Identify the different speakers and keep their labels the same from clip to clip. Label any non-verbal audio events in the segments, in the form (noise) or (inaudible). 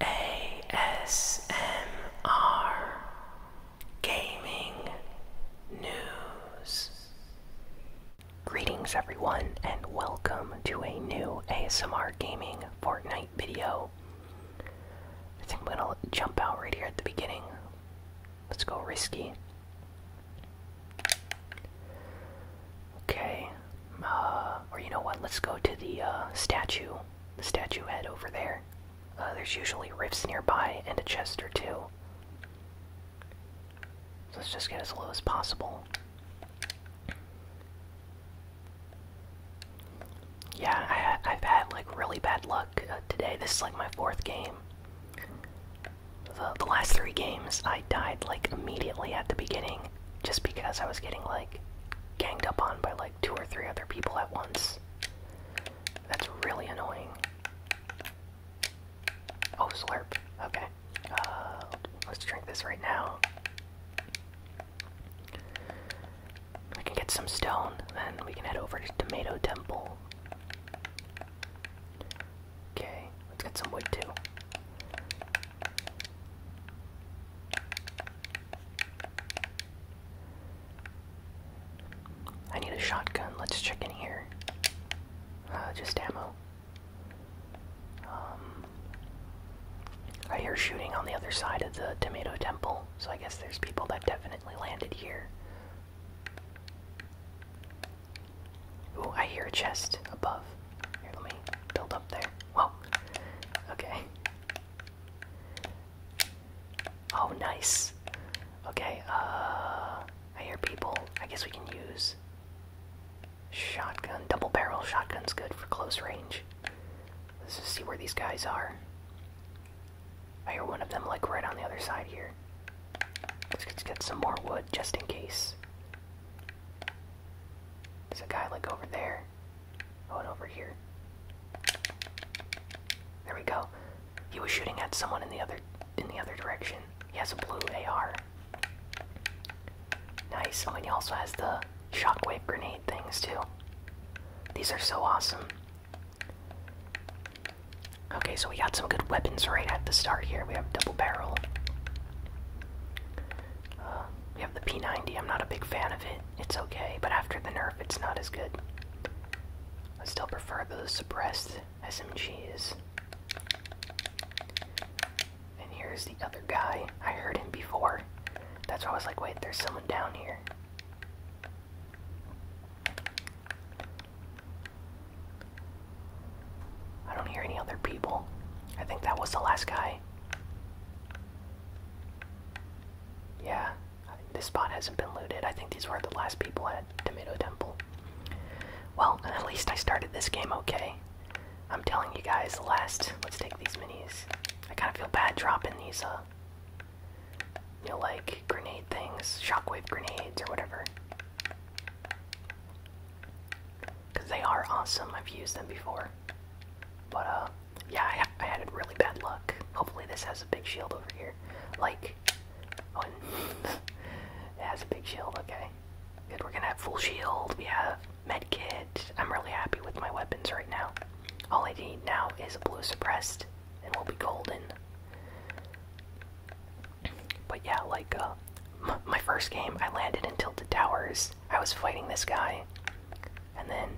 Speaker 1: ASMR Gaming News. Greetings, everyone, and welcome to a new ASMR Gaming Fortnite video. I think I'm gonna jump out right here at the beginning. Let's go risky. Okay. Uh, or you know what? Let's go to the uh, statue. The statue head over there. Uh, there's usually rifts nearby and a chest or two. let's just get as low as possible. Yeah, I, have had like really bad luck today. This is like my fourth game. The, the last three games, I died like immediately at the beginning, just because I was getting like ganged up on by like two or three other people at once. That's really annoying. Oh, slurp. Okay. Uh, let's drink this right now. I can get some stone, then we can head over to Tomato Temple. Okay, let's get some wood too. I need a shotgun. Let's check in here. Uh, just ammo. Um, I hear shooting on the other side of the tomato temple, so I guess there's people that definitely landed here. Oh, I hear a chest above. let me build up there. Whoa. Okay. Oh, nice. Okay, uh. I hear people. I guess we can use. Shotgun. Double barrel shotgun's good for close range. Let's see where these guys are. I hear one of them, like, right on the other side here. Let's get some more wood just in case. There's a guy like over there. Oh, and over here. There we go. He was shooting at someone in the other in the other direction. He has a blue AR. Nice. Oh, and he also has the shockwave grenade things too. These are so awesome. Okay, so we got some good weapons right at the start here. We have double barrel. Uh, we have the P90. I'm not a big fan of it. It's okay, but after the nerf, it's not as good. I still prefer the suppressed SMGs. And here's the other guy. I heard him before. That's why I was like, wait, there's someone down here. I don't hear any other people. I think that was the last guy. Yeah, this spot hasn't been looted. I think these were the last people at Tomato Temple. Well, at least I started this game okay. I'm telling you guys, the last. Let's take these minis. I kind of feel bad dropping these, uh, you know, like grenade things, shockwave grenades or whatever because they are awesome. I've used them before. But, uh, yeah, I, I had really bad luck. Hopefully, this has a big shield over here. Like, (laughs) it has a big shield, okay. Good, we're gonna have full shield. We have med kit. I'm really happy with my weapons right now. All I need now is a blue suppressed, and we'll be golden. But yeah, like, uh, my first game, I landed in Tilted Towers. I was fighting this guy, and then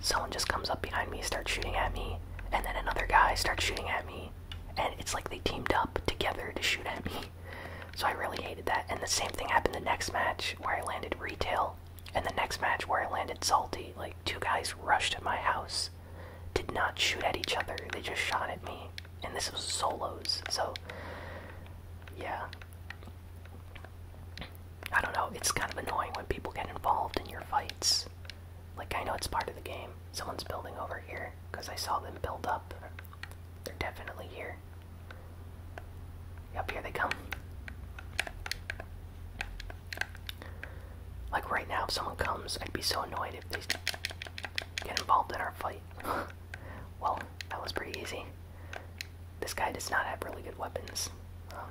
Speaker 1: someone just comes up behind me, starts shooting at me, and then another guy starts shooting at me, and it's like they teamed up together to shoot at me. So I really hated that. And the same thing happened the next match where I landed retail, and the next match where I landed salty. Like two guys rushed at my house, did not shoot at each other, they just shot at me and this was solos, so yeah. I don't know, it's kind of annoying when people get involved in your fights. Like, I know it's part of the game. Someone's building over here, because I saw them build up. They're definitely here. Yep, here they come. Like, right now, if someone comes, I'd be so annoyed if they get involved in our fight. (sighs) well, that was pretty easy. This guy does not have really good weapons. Um,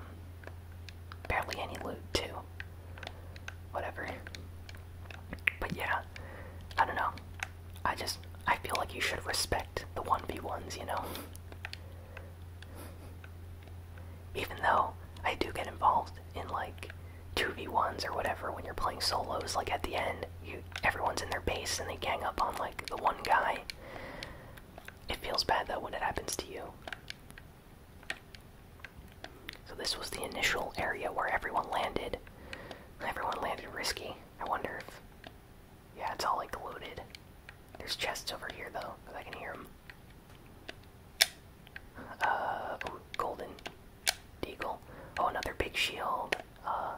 Speaker 1: barely any loot, too. Whatever. But yeah, I don't know. I just, I feel like you should respect the 1v1s, you know? Even though I do get involved in, like, 2v1s or whatever when you're playing solos like at the end you everyone's in their base and they gang up on like the one guy it feels bad though when it happens to you so this was the initial area where everyone landed everyone landed risky i wonder if yeah it's all like loaded there's chests over here though i can hear them uh, golden Deagle. Oh, another big shield. Uh,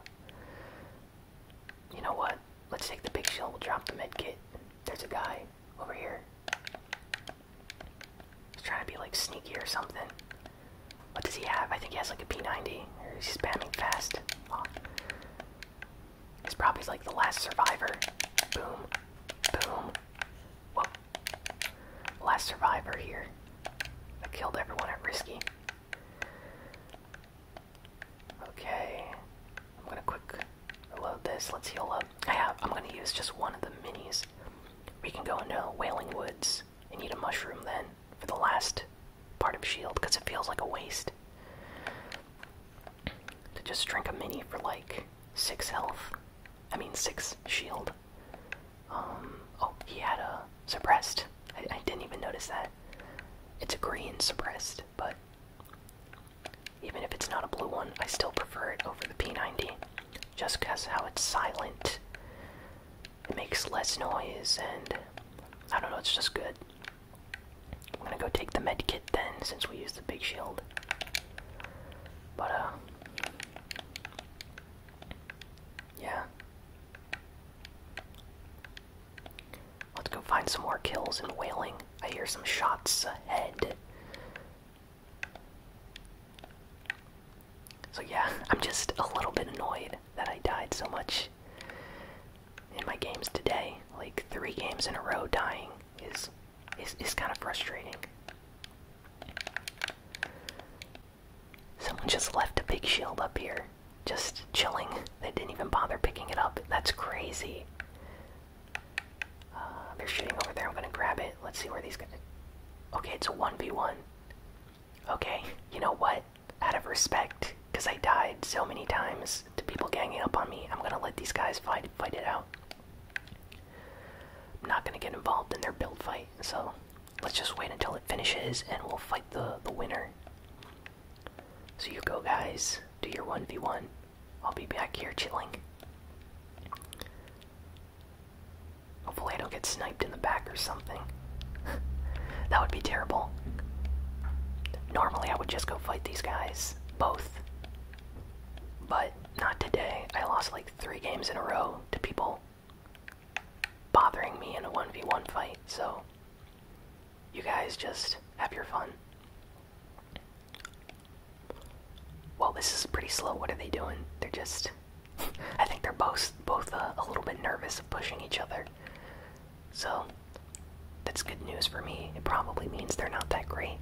Speaker 1: you know what? Let's take the big shield. We'll drop the med kit. There's a guy over here. He's trying to be like sneaky or something. What does he have? I think he has like a P90. he's spamming fast. Oh. He's probably like the last survivor. Boom. Boom. Last survivor here. I killed everyone at Risky. Okay, I'm gonna quick reload this. Let's heal up. I have. I'm gonna use just one of the minis. We can go into Wailing Woods and eat a mushroom then for the last part of Shield, because it feels like a waste to just drink a mini for like six health. I mean six shield. Um, oh, he had a suppressed. I, I didn't even notice that. It's a green suppressed, but even if it's not a blue one, I still prefer it over the P90 just because how it's silent. It makes less noise, and I don't know, it's just good. I'm gonna go take the med kit then, since we used the big shield. But, uh. Yeah. Let's go find some more kills in whaling. I hear some shots ahead. So, yeah, (laughs) I'm just a little bit annoyed that I died so much in my games today. Like, three games in a row dying is, is, is kind of frustrating. Someone just left a big shield up here. Just chilling. They didn't even bother picking it up. That's crazy. Uh, they're shooting over there. I'm gonna grab it. Let's see where these go. Okay, it's a 1v1. Okay, you know what? Out of respect, because I died so many times to people ganging up on me, I'm gonna let these guys fight, fight it out. I'm not gonna get involved in their build fight, so let's just wait until it finishes and we'll fight the the winner. So you go guys, do your 1v1. I'll be back here chilling. Hopefully I don't get sniped in the back or something. (laughs) that would be terrible. Normally I would just go fight these guys, both. But not today. I lost like three games in a row to people bothering me in a 1v1 fight, so you guys just have your fun. Well, this is pretty slow. What are they doing? They're just. (laughs) I think they're both both uh, a little bit nervous of pushing each other. So that's good news for me. It probably means they're not that great.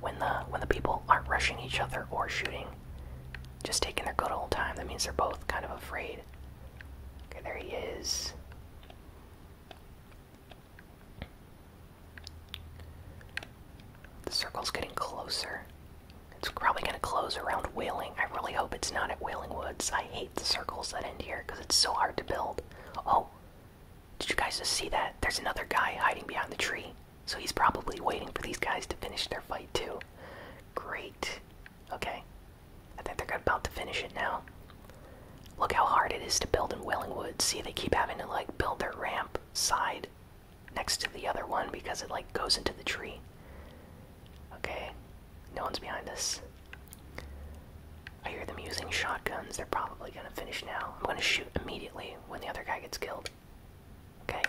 Speaker 1: When the when the people aren't rushing each other or shooting, just taking their good old time. That means they're both kind of afraid. Okay, there he is. The circle's getting closer. It's probably going to close around Whaling. I really hope it's not at Whaling Woods. I hate the circles that end here because it's so hard to build. Oh, did you guys just see that? There's another guy hiding behind the tree. So he's probably waiting for these guys to finish their fight too. Great. Okay. I think they're about to finish it now. Look how hard it is to build in Wellingwood. See, they keep having to like build their ramp side next to the other one because it like goes into the tree. Okay. No one's behind us. I hear them using shotguns. They're probably gonna finish now. I'm gonna shoot immediately when the other guy gets killed. Okay,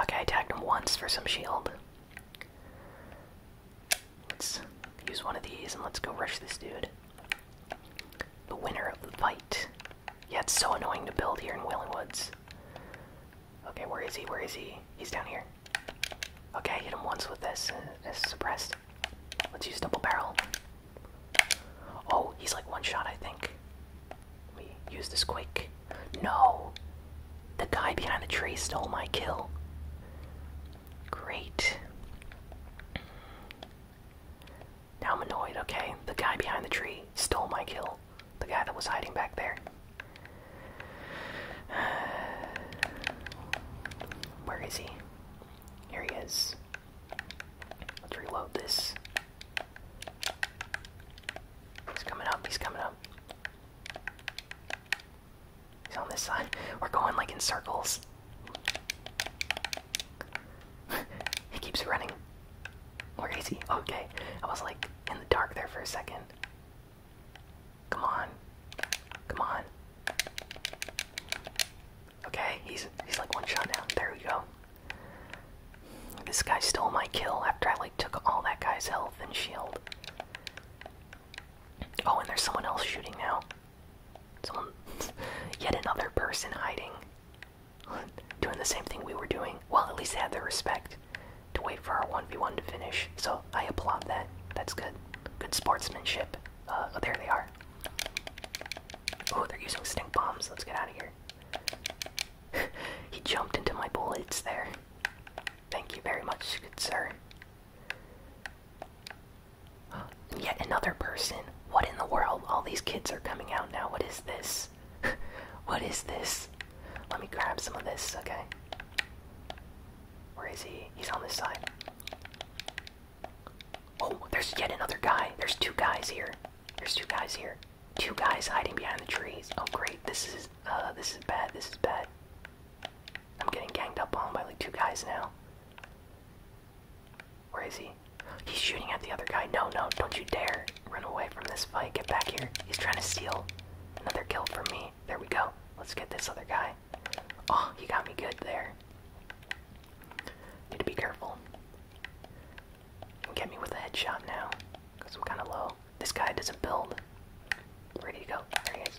Speaker 1: Okay, I tagged him once for some shield. Let's use one of these and let's go rush this dude. The winner of the fight. Yeah, it's so annoying to build here in Wailing Woods. Okay, where is he? Where is he? He's down here. Okay, hit him once with this. Uh, this suppressed. Let's use double barrel. Oh, he's like one shot, I think. we use this quick. No! The guy behind the tree stole my kill. Great. Now I'm annoyed, okay? The guy behind the tree stole my kill. The guy that was hiding back there. (sighs) Where is he? Here he is. Let's reload this. He's coming up, he's coming up. He's on this side. We're going like in circles. (laughs) he keeps running. Where is he? Okay. I was like in the dark there for a second. Come on. Come on. Okay, he's he's like one shot down. There we go. This guy stole my kill after I like took all that guy's health and shield. Oh, and there's someone else shooting now. Someone, (laughs) yet another person hiding, (laughs) doing the same thing we were doing. Well, at least they had the respect to wait for our one v one to finish. So I applaud that. That's good. Good sportsmanship. Uh, oh, there they are. Oh, they're using stink bombs. Let's get out of here. (laughs) he jumped into my bullets there. Thank you very much, good sir. (gasps) Yet another person. What in the world? All these kids are coming out now. What is this? (laughs) what is this? Let me grab some of this, okay? Where is he? He's on this side. Oh, there's yet another guy. There's two guys here. There's two guys here. Two guys hiding behind the trees. Oh great, this is uh, this is bad, this is bad. I'm getting ganged up on by like two guys now. Where is he? He's shooting at the other guy. No, no, don't you dare run away from this fight. Get back here. He's trying to steal another kill from me. There we go. Let's get this other guy. Oh, he got me good there. Need to be careful. do get me with a headshot now, because I'm kind of low. This guy doesn't build. Ready to go. There he is.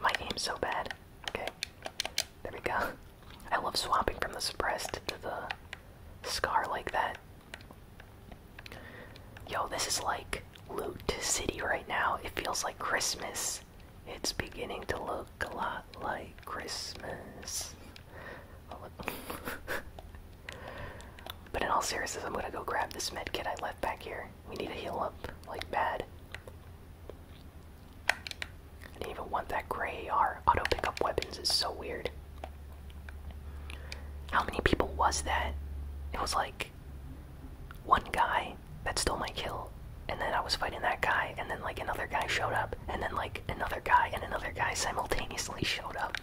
Speaker 1: My aim's so bad. Okay. There we go. (laughs) I love swapping from the suppressed to the scar like that. Yo, this is like loot city right now. It feels like Christmas. It's beginning to look a lot like Christmas. (laughs) but in all seriousness, I'm gonna go grab this med kit I left back here. We need to heal up, like bad. I didn't even want that gray AR. Auto pickup weapons is so weird. How many people was that? It was like one guy that stole my kill. And then I was fighting that guy, and then like another guy showed up, and then like another guy and another guy simultaneously (laughs) showed up.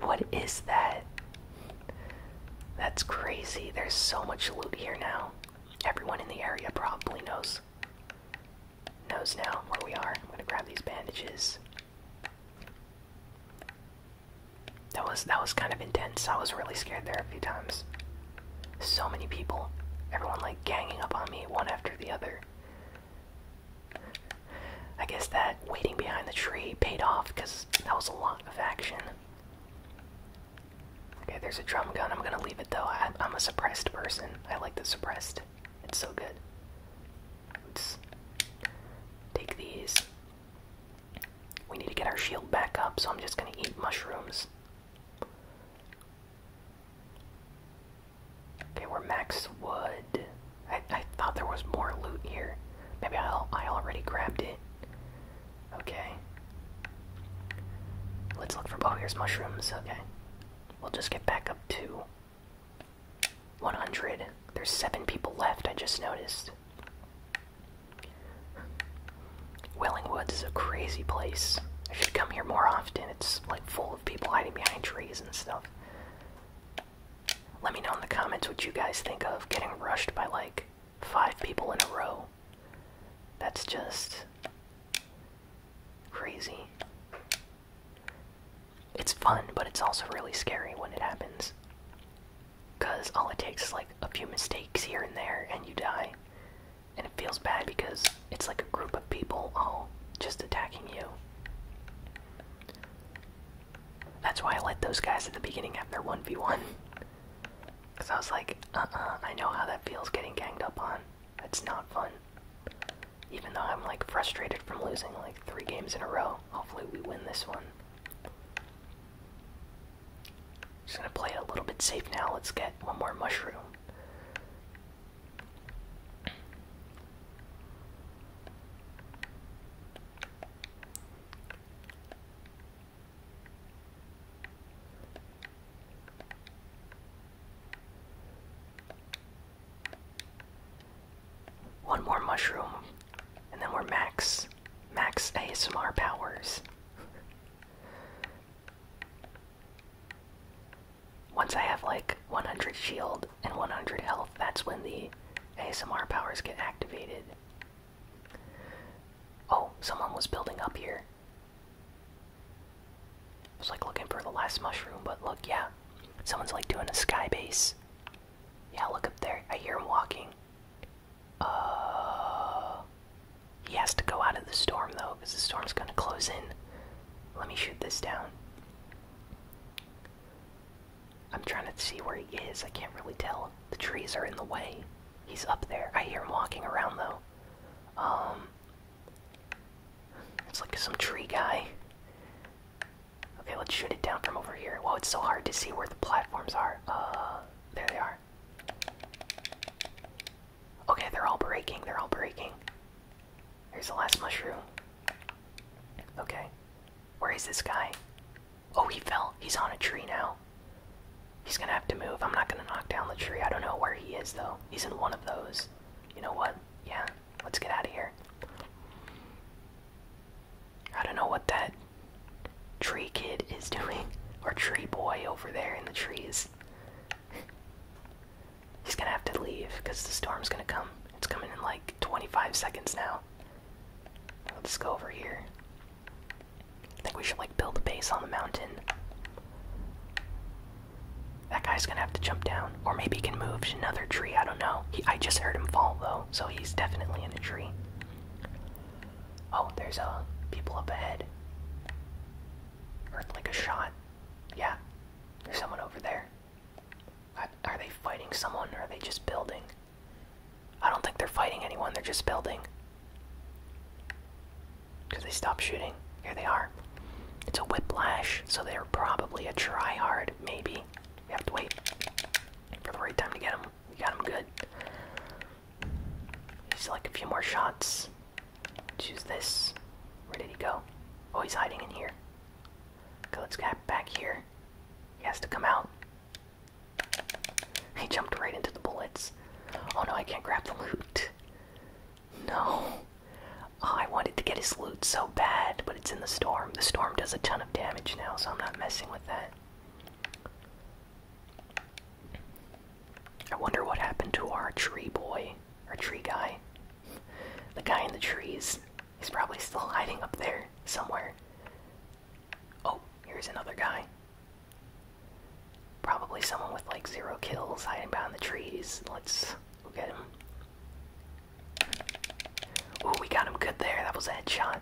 Speaker 1: What is that? That's crazy. There's so much loot here now. Everyone in the area probably knows. Knows now where we are. I'm gonna grab these bandages. That was that was kind of intense. I was really scared there a few times. So many people. Everyone like ganging up on me one after the other. I guess that waiting behind the tree paid off because that was a lot of action. Okay, there's a drum gun. I'm gonna leave it though. I, am a suppressed person. I like the suppressed. It's so good. take these. We need to get our shield back up, so I'm just gonna eat mushrooms. Okay, we're max wood. I, I thought there was more loot here. Maybe i I already grabbed it. Okay. Let's look for. Oh, here's mushrooms. Okay. We'll just get back up to 100. There's seven people left, I just noticed. Wellingwoods is a crazy place. I should come here more often. It's like full of people hiding behind trees and stuff. Let me know in the comments what you guys think of getting rushed by like five people in a row. That's just crazy. It's fun, but it's also really scary when it happens. Because all it takes is like a few mistakes here and there and you die. And it feels bad because it's like a group of people all just attacking you. That's why I let those guys at the beginning have their 1v1. Because (laughs) I was like, uh I know how that feels getting ganged up on. It's not fun. Even though I'm like frustrated from losing like three games in a row, hopefully we win this one. Just gonna play it a little bit safe now. Let's get one more mushroom. One more mushroom, and then we're max, max ASMR powers. (laughs) Once I have like 100 shield and 100 health, that's when the ASMR powers get activated. Oh, someone was building up here. I was like looking for the last mushroom, but look, yeah. Someone's like doing a sky base. Yeah, look up there. I hear him walking. Uh, he has to go out of the storm though, because the storm's gonna close in. Let me shoot this down. I'm trying to see where he is. I can't really tell. The trees are in the way. He's up there. I hear him walking around though. Um, it's like some tree guy. Okay, let's shoot it down from over here. Whoa, it's so hard to see where the platforms are. Uh, there they are. Okay, they're all breaking, they're all breaking. Here's the last mushroom. Okay. Where is this guy? Oh, he fell. He's on a tree now. He's gonna have to move. I'm not gonna knock down the tree. I don't know where he is, though. He's in one of those. You know what? Yeah, let's get out of here. I don't know what that tree kid is doing, or tree boy over there in the trees. He's gonna have to leave because the storm's gonna come. It's coming in like 25 seconds now. Let's go over here. I think we should like build a base on the mountain. That guy's gonna have to jump down, or maybe he can move to another tree. I don't know. He, I just heard him fall though, so he's definitely in a tree. Oh, there's a uh, people up ahead. Heard like a shot. Yeah, there's someone over there. are they fighting someone or are they just building? I don't think they're fighting anyone. They're just building. Because they stopped shooting. Here they are. It's a whiplash, so they're probably a tryhard. Maybe we have to wait for the right time to get them. We got them good. He's like a few more shots. Choose this. Where did he go? Oh, he's hiding in here. Okay, let's get back here. He has to come out. He jumped right into the bullets. Oh no, I can't grab the loot. No. Oh, I wanted to get his loot so bad, but it's in the storm. The storm does a ton of damage now, so I'm not messing with that. I wonder what happened to our tree boy, our tree guy. The guy in the trees. He's probably still hiding up there somewhere. Oh, here's another guy. Probably someone with like zero kills hiding behind the trees. Let's go get him. Ooh, we got him good there. That was a headshot.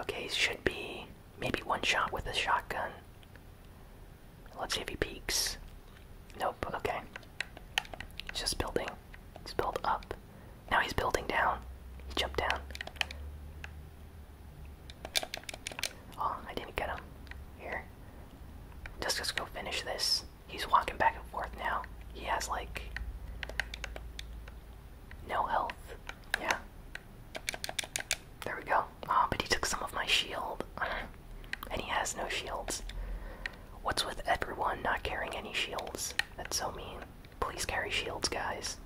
Speaker 1: Okay, should be maybe one shot with a shotgun. Let's see if he peeks. Nope, okay. He's just building. He's built up. Now he's building down. He jumped down. Oh, I didn't get him. Here. Just, just go finish this. He's walking back and forth now. He has like no health. Yeah. There we go. Ah, but he took some of my shield. (laughs) and he has no shields. What's with everyone not carrying any shields? That's so mean. Please carry shields, guys.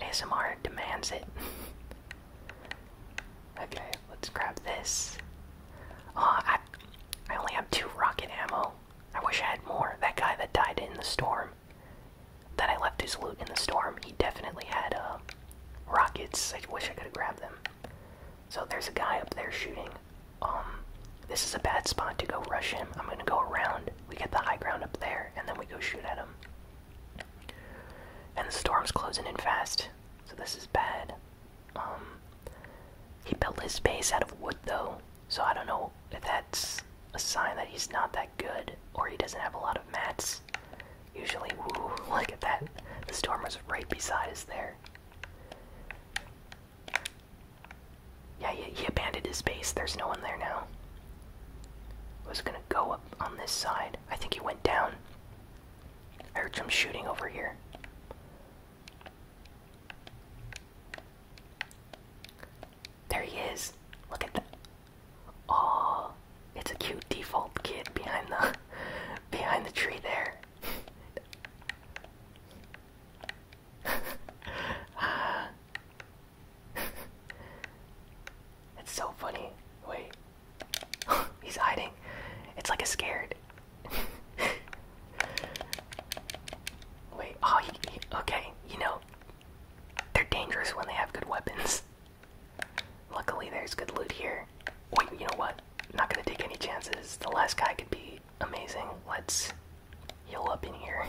Speaker 1: ASMR demands it. (laughs) okay, let's grab this. Ah, oh, I only have two rocket ammo. I wish I had more. That guy that died in the storm, that I left his loot in the storm, he definitely had uh, rockets. I wish I could have grabbed them. So there's a guy up there shooting. Um, this is a bad spot to go rush him. I'm gonna go around. We get the high ground up there, and then we go shoot at him. And the storm's closing in fast, so this is bad. Um, he built his base out of wood though, so I don't know if that's a sign that he's not that good or he doesn't have a lot of mats. Usually, woo, (laughs) look at that. The storm was right beside us there. Yeah, he, abandoned his base. There's no one there now. was gonna go up on this side. I think he went down. I heard some shooting over here. There he is. Look at that. Oh, it's a cute default kid behind the (laughs) behind the tree there. uh, (laughs) it's so funny. Wait. (laughs) He's hiding. It's like a scared. Wait, oh, he, okay, you know, they're dangerous when they have good weapons. Luckily, there's good loot here. Wait, you know what? not gonna take any chances. The last guy could be amazing. Let's heal up in here.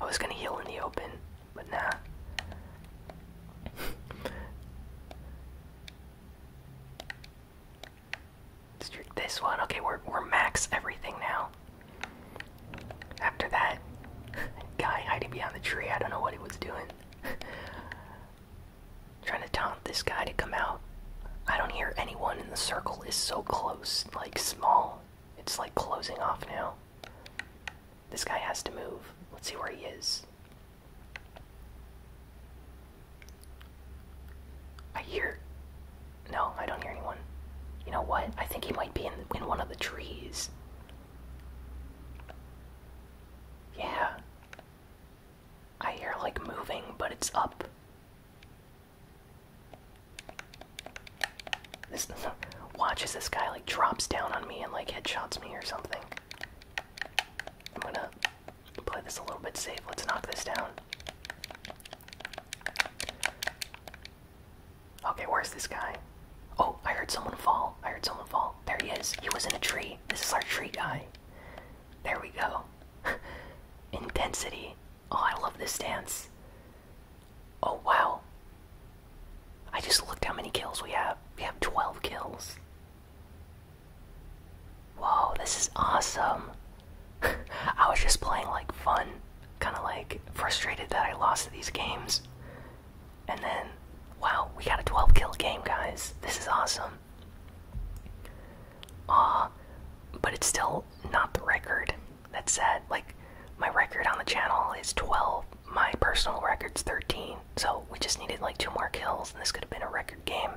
Speaker 1: I was gonna heal in the open, but nah. Let's do this one. Okay, we're we're max everything now. After that (laughs) guy hiding behind the tree, I don't know what he was doing. (laughs) Trying to taunt this guy to come out. I don't hear anyone in the circle is so close, like small. It's like closing off now. This guy has to move. Let's see where he is. I hear no, I don't hear anyone. You know what? I think he might be in, in one of the trees. Yeah. I hear like moving, but it's up. This (laughs) watch as this guy like drops down on me and like headshots me or something. I'm gonna play this a little bit safe. Let's knock this down. Okay, where's this guy? Oh, I heard someone fall. I heard someone fall. There he is. He was in a tree. This is our tree guy. There we go. (laughs) Intensity. Oh, I love this dance. Oh, wow. I just looked how many kills we have. We have 12 kills. Whoa, this is awesome. (laughs) I was just playing like fun, kind of like frustrated that I lost these games. And then, wow, we got a 12 kill game, guys. This is awesome. Aw, but it's still not the record. that said Like, my record on the channel is 12. My personal record's 13. So we just needed like two more kills, and this could have been a record game.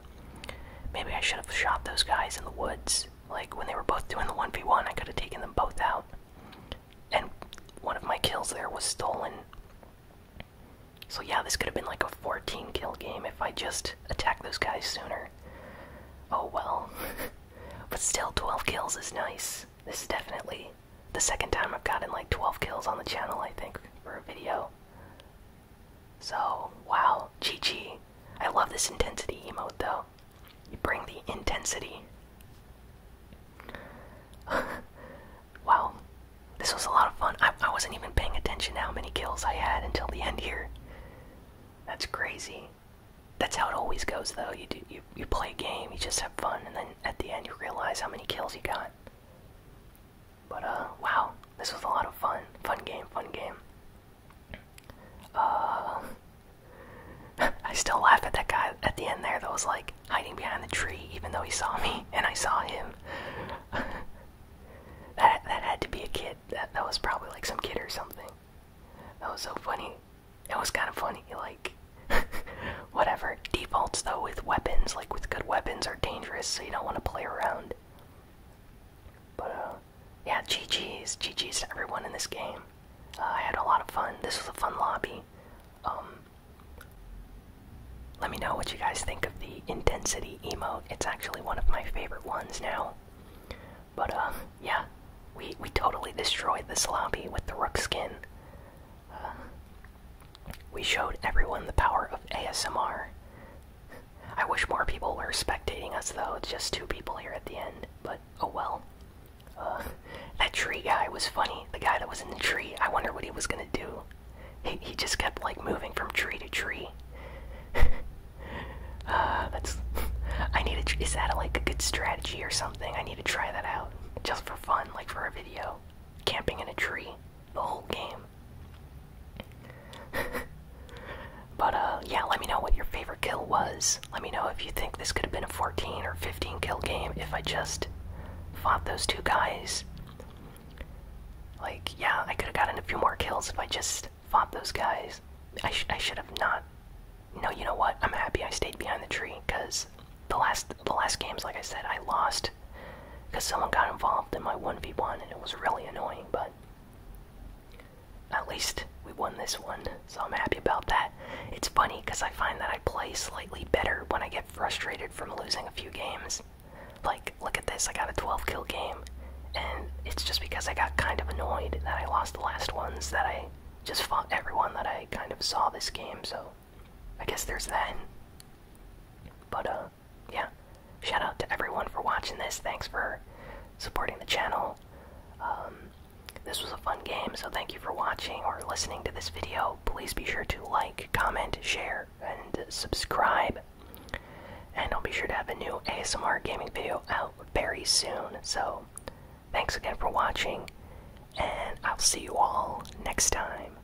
Speaker 1: Maybe I should have shot those guys in the woods like when they were both doing the 1v1 i could have taken them both out and one of my kills there was stolen so yeah this could have been like a 14 kill game if i just attacked those guys sooner oh well (laughs) but still 12 kills is nice this is definitely the second time i've gotten like 12 kills on the channel i think for a video so, wow, Chi Chi. I love this intensity emote though. You bring the intensity. (laughs) wow, this was a lot of fun. I, wasn't even paying attention to how many kills I had until the end here. That's crazy. That's how it always goes though. You you, you play a game, you just have fun, and then at the end you realize how many kills you got. But uh wow, this was a lot of fun. Fun game, fun game. Uh, (laughs) I still laugh at that guy at the end there that was like hiding behind the tree, even though he saw me (laughs) and I saw him. (laughs) that that had to be a kid. That that was probably like some kid or something. That was so funny. It was kind of funny, like. Whatever. Defaults though with weapons, like with good weapons, are dangerous, so you don't want to play around. But uh yeah, GG's, GG's to everyone in this game. Uh, I had a lot of fun. This was a fun lobby. Um, let me know what you guys think of the intensity emote. It's actually one of my favorite ones now. But uh, yeah, we we totally destroyed this lobby with the rook skin. Uh, we showed everyone the power of ASMR. I wish more people were spectating us though. It's just two people here at the end, but oh well. that tree guy was funny. The guy that was in the tree. I wonder what he was gonna do. He he just kept like moving from tree to tree. (laughs) uh, that's. I need to. Is that like a good strategy or something? I need to try that out just for fun, like for a video. Camping in a tree the whole game. (laughs) but uh, yeah, let me know what your favorite kill was. Let me know if you think this could have been a 14 or 15 kill game if I just fought those two guys. Like, yeah, I could have gotten a few more kills if I just fought those guys. I, sh I should have not. No, you know what? I'm happy I stayed behind the tree because the last the last games, like I said, I lost because someone got involved in my 1v1 and it was really annoying. But at least we won this one, so I'm happy about that. It's funny because I find that I play slightly better when I get frustrated from losing a few games. Like, look at this, I got a 12 kill game, and it's just because I got kind of annoyed that I lost the last ones that I just fought everyone that I kind of saw this game, so I guess there's that. But, uh, yeah, shout out to everyone for watching this. Thanks for supporting the channel. Um, this was a fun game, so thank you for watching or listening to this video. Please be sure to like, comment, share, and subscribe. And I'll be sure to have a new ASMR gaming video out very soon. So, thanks again for watching, and I'll see you all next time.